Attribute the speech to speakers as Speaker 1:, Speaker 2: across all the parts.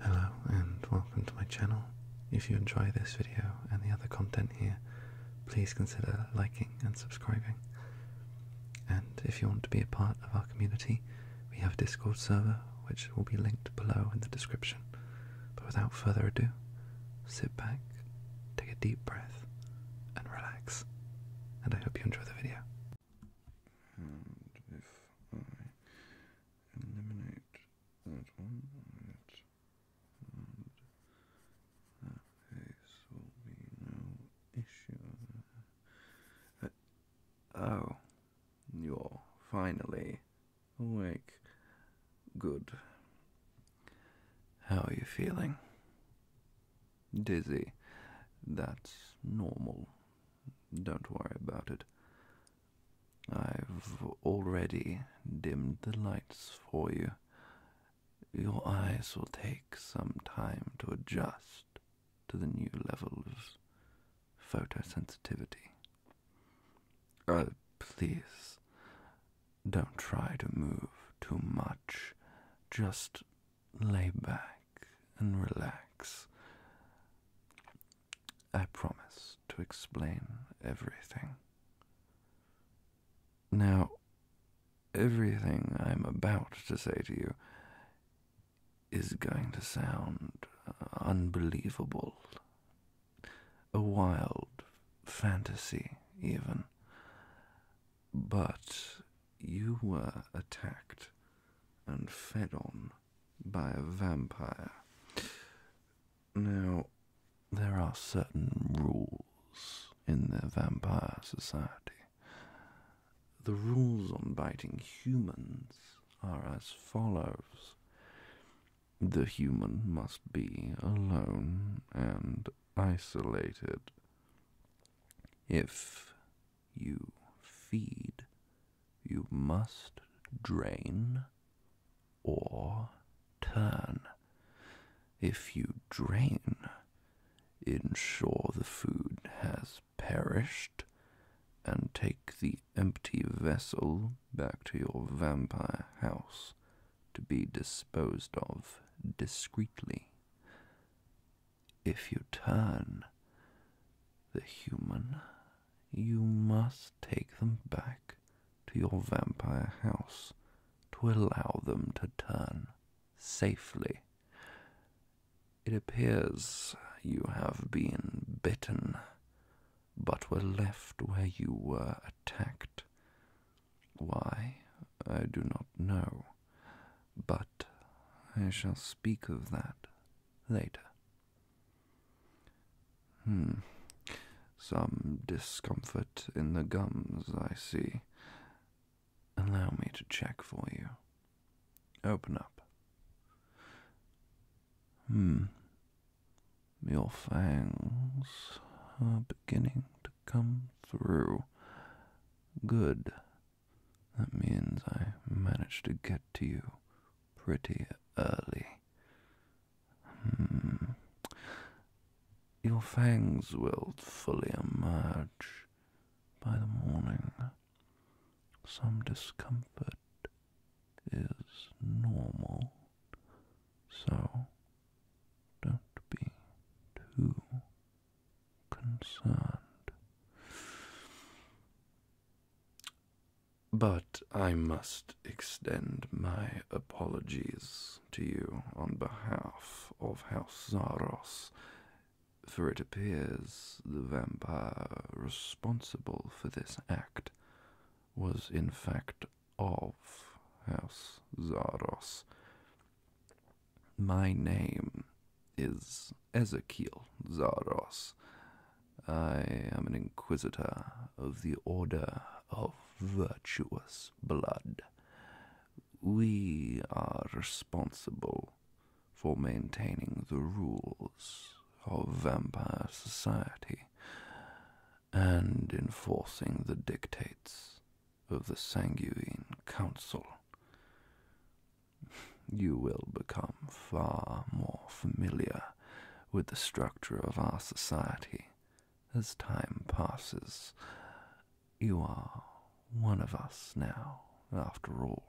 Speaker 1: Hello and welcome to my channel. If you enjoy this video and the other content here, please consider liking and subscribing. And if you want to be a part of our community, we have a Discord server which will be linked below in the description. But without further ado, sit back, take a deep breath, and relax. And I hope you enjoy the video eliminate that one, and that face will be no issue. Uh, oh, you're finally awake. Good. How are you feeling? Dizzy. That's normal. Don't worry about it. I've already dimmed the lights for you. Your eyes will take some time to adjust to the new level of photosensitivity. Oh, please, don't try to move too much. Just lay back and relax. I promise to explain everything. Now, everything I'm about to say to you is going to sound unbelievable. A wild fantasy, even. But you were attacked and fed on by a vampire. Now, there are certain rules in the vampire society. The rules on biting humans are as follows. The human must be alone and isolated. If you feed, you must drain or turn. If you drain, ensure the food has perished and take the empty vessel back to your vampire house to be disposed of discreetly. If you turn the human, you must take them back to your vampire house to allow them to turn safely. It appears you have been bitten, but were left where you were attacked. Why, I do not know but I shall speak of that later. Hmm. Some discomfort in the gums, I see. Allow me to check for you. Open up. Hmm. Your fangs are beginning to come through. Good. That means I managed to get to you pretty early. Hmm. Your fangs will fully emerge by the morning. Some discomfort is normal, so don't be too concerned. But I must extend my apologies to you on behalf of House Zaros, for it appears the vampire responsible for this act was in fact of House Zaros, my name is Ezekiel Zaros. I am an inquisitor of the Order of Virtuous Blood. We are responsible for maintaining the rules of vampire society and enforcing the dictates of the Sanguine Council you will become far more familiar with the structure of our society as time passes. You are one of us now, after all.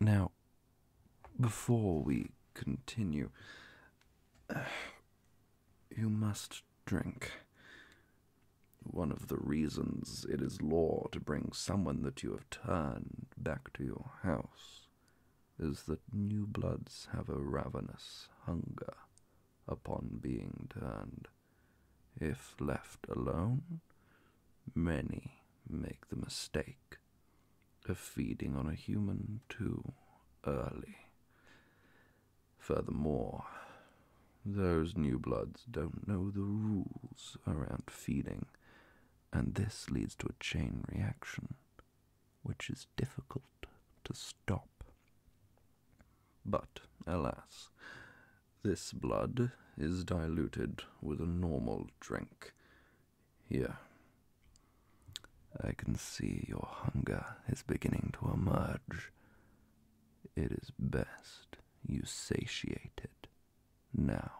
Speaker 1: Now, before we continue, you must drink one of the reasons it is law to bring someone that you have turned back to your house is that new bloods have a ravenous hunger upon being turned. If left alone, many make the mistake of feeding on a human too early. Furthermore, those new bloods don't know the rules around feeding, and this leads to a chain reaction, which is difficult to stop. But, alas, this blood is diluted with a normal drink. Here. I can see your hunger is beginning to emerge. It is best you satiated now.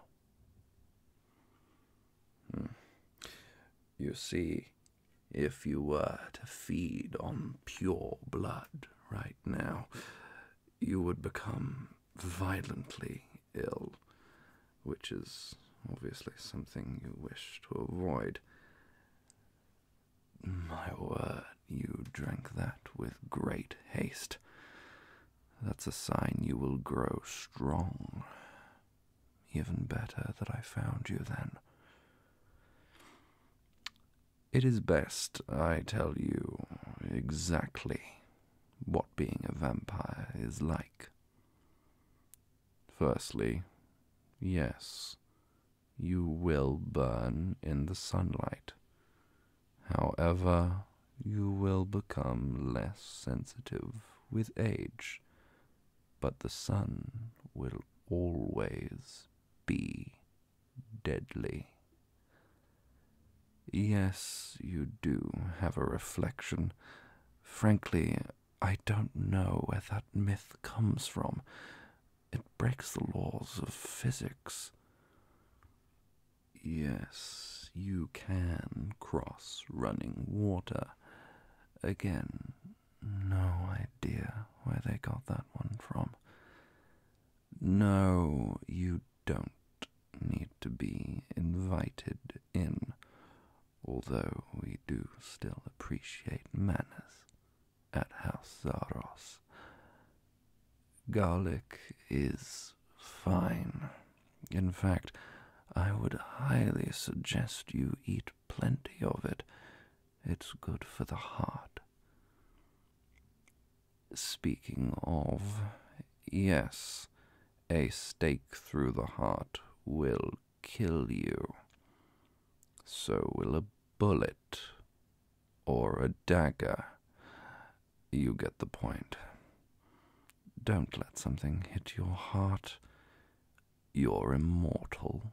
Speaker 1: Hmm. You see, if you were to feed on pure blood right now, you would become violently ill, which is obviously something you wish to avoid. My word, you drank that with great haste. That's a sign you will grow strong. Even better that I found you then. It is best I tell you exactly what being a vampire is like. Firstly, yes, you will burn in the sunlight. However, you will become less sensitive with age, but the sun will always be deadly. Yes, you do have a reflection. Frankly, I don't know where that myth comes from. It breaks the laws of physics. Yes, you can cross running water. Again, no idea where they got that one from. No, you don't need to be invited in, although we do still appreciate manners at House Zaros. Garlic is fine. In fact, I would highly suggest you eat plenty of it. It's good for the heart. Speaking of, yes, a stake through the heart will kill you. So will a bullet or a dagger. You get the point. Don't let something hit your heart. You're immortal,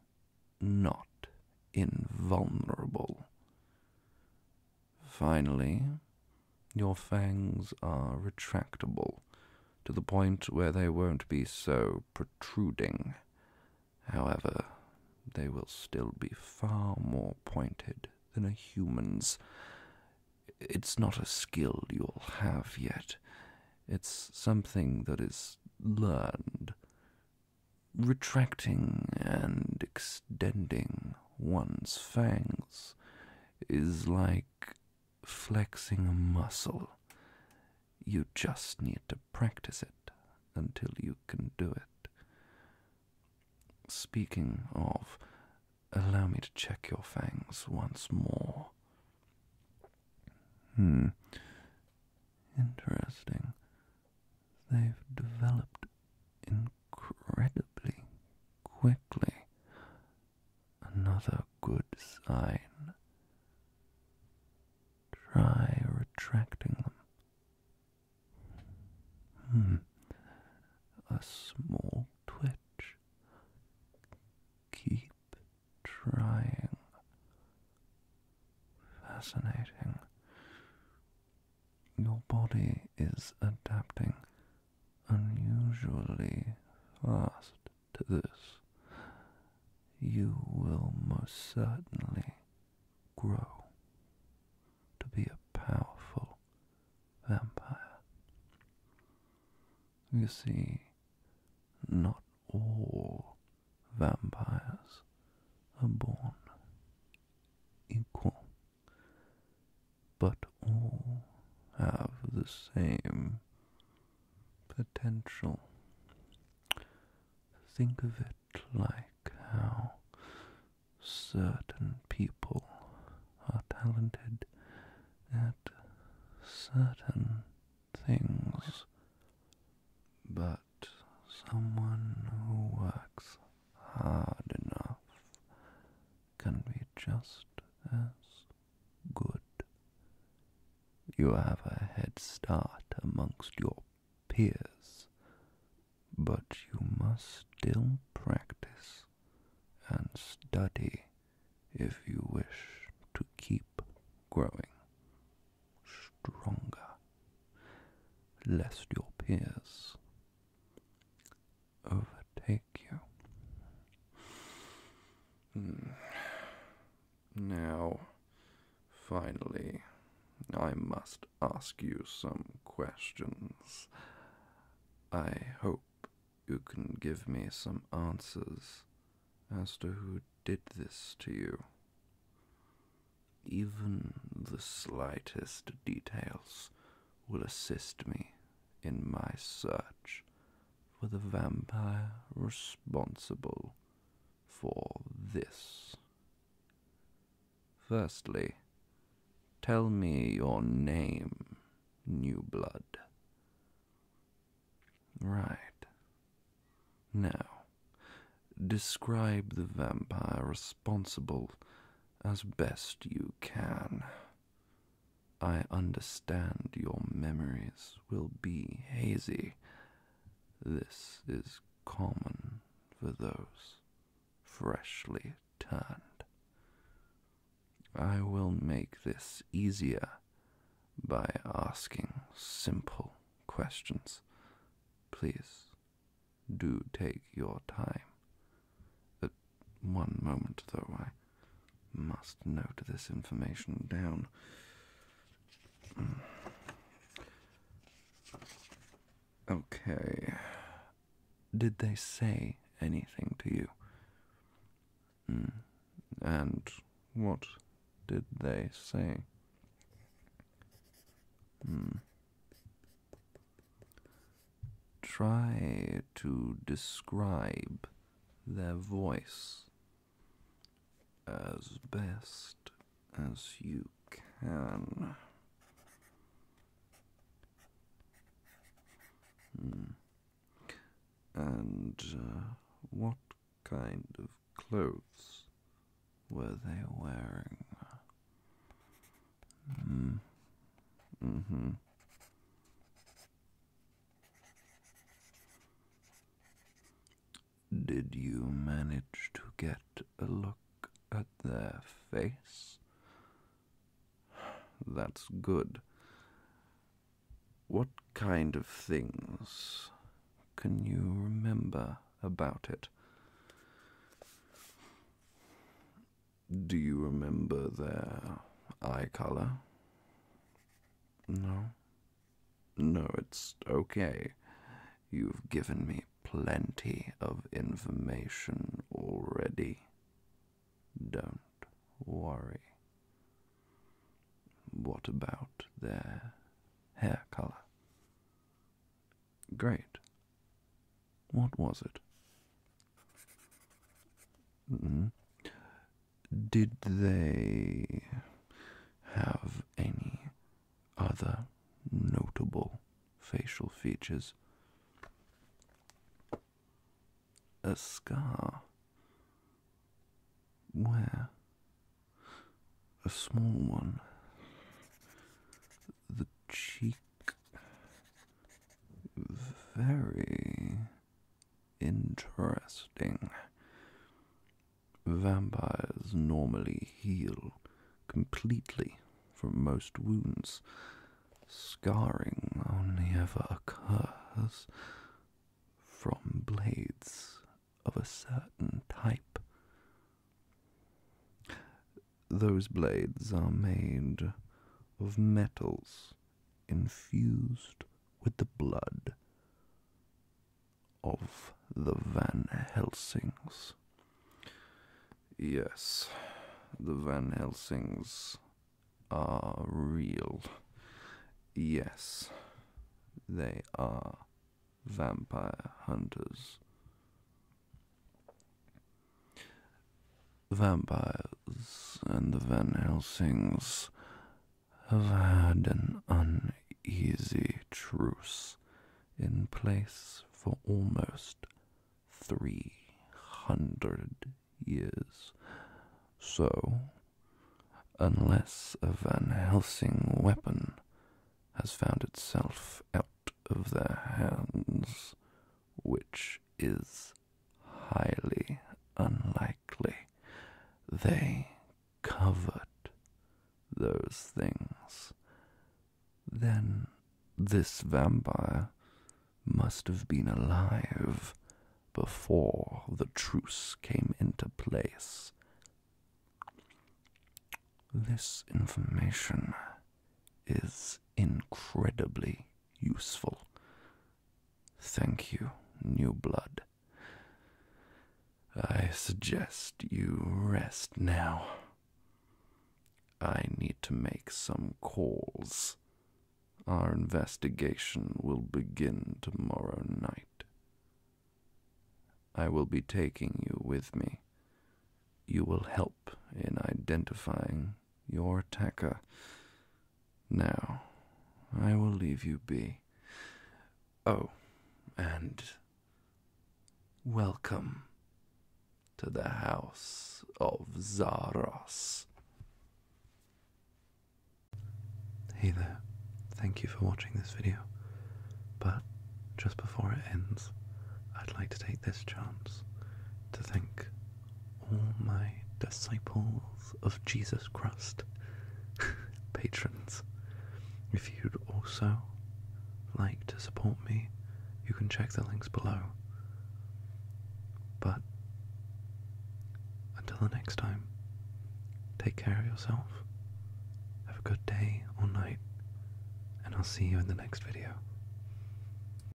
Speaker 1: not invulnerable. Finally, your fangs are retractable to the point where they won't be so protruding. However, they will still be far more pointed than a human's. It's not a skill you'll have yet. It's something that is learned. Retracting and extending one's fangs is like flexing a muscle. You just need to practice it until you can do it. Speaking of, allow me to check your fangs once more. Hmm. Interesting. They've developed incredibly quickly. Another good sign. Try retracting them. Hmm. A small twitch. Keep trying. Fascinating. Your body is adapting unusually fast to this, you will most certainly grow to be a powerful vampire. You see, not all vampires are born equal, but all have the same potential. Think of it like how certain people are talented at certain things, but someone who works hard enough can be just as good you have a head start amongst your peers, but you must still practice and study if you wish to keep growing stronger, lest your peers overtake you. Hmm. Now, finally, I must ask you some questions. I hope you can give me some answers as to who did this to you. Even the slightest details will assist me in my search for the vampire responsible for this. Firstly, tell me your name, New Blood. Right. Now, describe the vampire responsible as best you can. I understand your memories will be hazy. This is common for those freshly turned. I will make this easier by asking simple questions. Please do take your time. At one moment, though, I must note this information down. Hmm. Okay. Did they say anything to you? Hmm. And what did they say? Hmm. Try to describe their voice as best as you can. Hmm. And uh, what kind of clothes were they wearing? Mm. Mm-hmm. Did you manage to get a look at their face? That's good. What kind of things can you remember about it? Do you remember their eye color? No. No, it's okay. You've given me plenty of information already. Don't worry. What about their hair color? Great. What was it? Hmm? Did they have any other notable facial features? A scar. Where? A small one. The cheek. Very Interesting. Vampires normally heal completely from most wounds. Scarring only ever occurs from blades of a certain type. Those blades are made of metals infused with the blood of the Van Helsings. Yes, the Van Helsings are real. Yes, they are vampire hunters. Vampires and the Van Helsings have had an uneasy truce in place for almost three hundred years. So, unless a Van Helsing weapon has found itself out of their hands, which is highly unlikely they covered those things. Then this vampire must have been alive before the truce came into place. This information is incredibly useful. Thank you, new blood. I suggest you rest now. I need to make some calls. Our investigation will begin tomorrow night. I will be taking you with me. You will help in identifying your Taka. Now, I will leave you be. Oh, and welcome to the house of Zaros. Hey there, thank you for watching this video. But just before it ends, I'd like to take this chance to think all my disciples of Jesus Christ, patrons. If you'd also like to support me, you can check the links below. But until the next time, take care of yourself, have a good day or night, and I'll see you in the next video.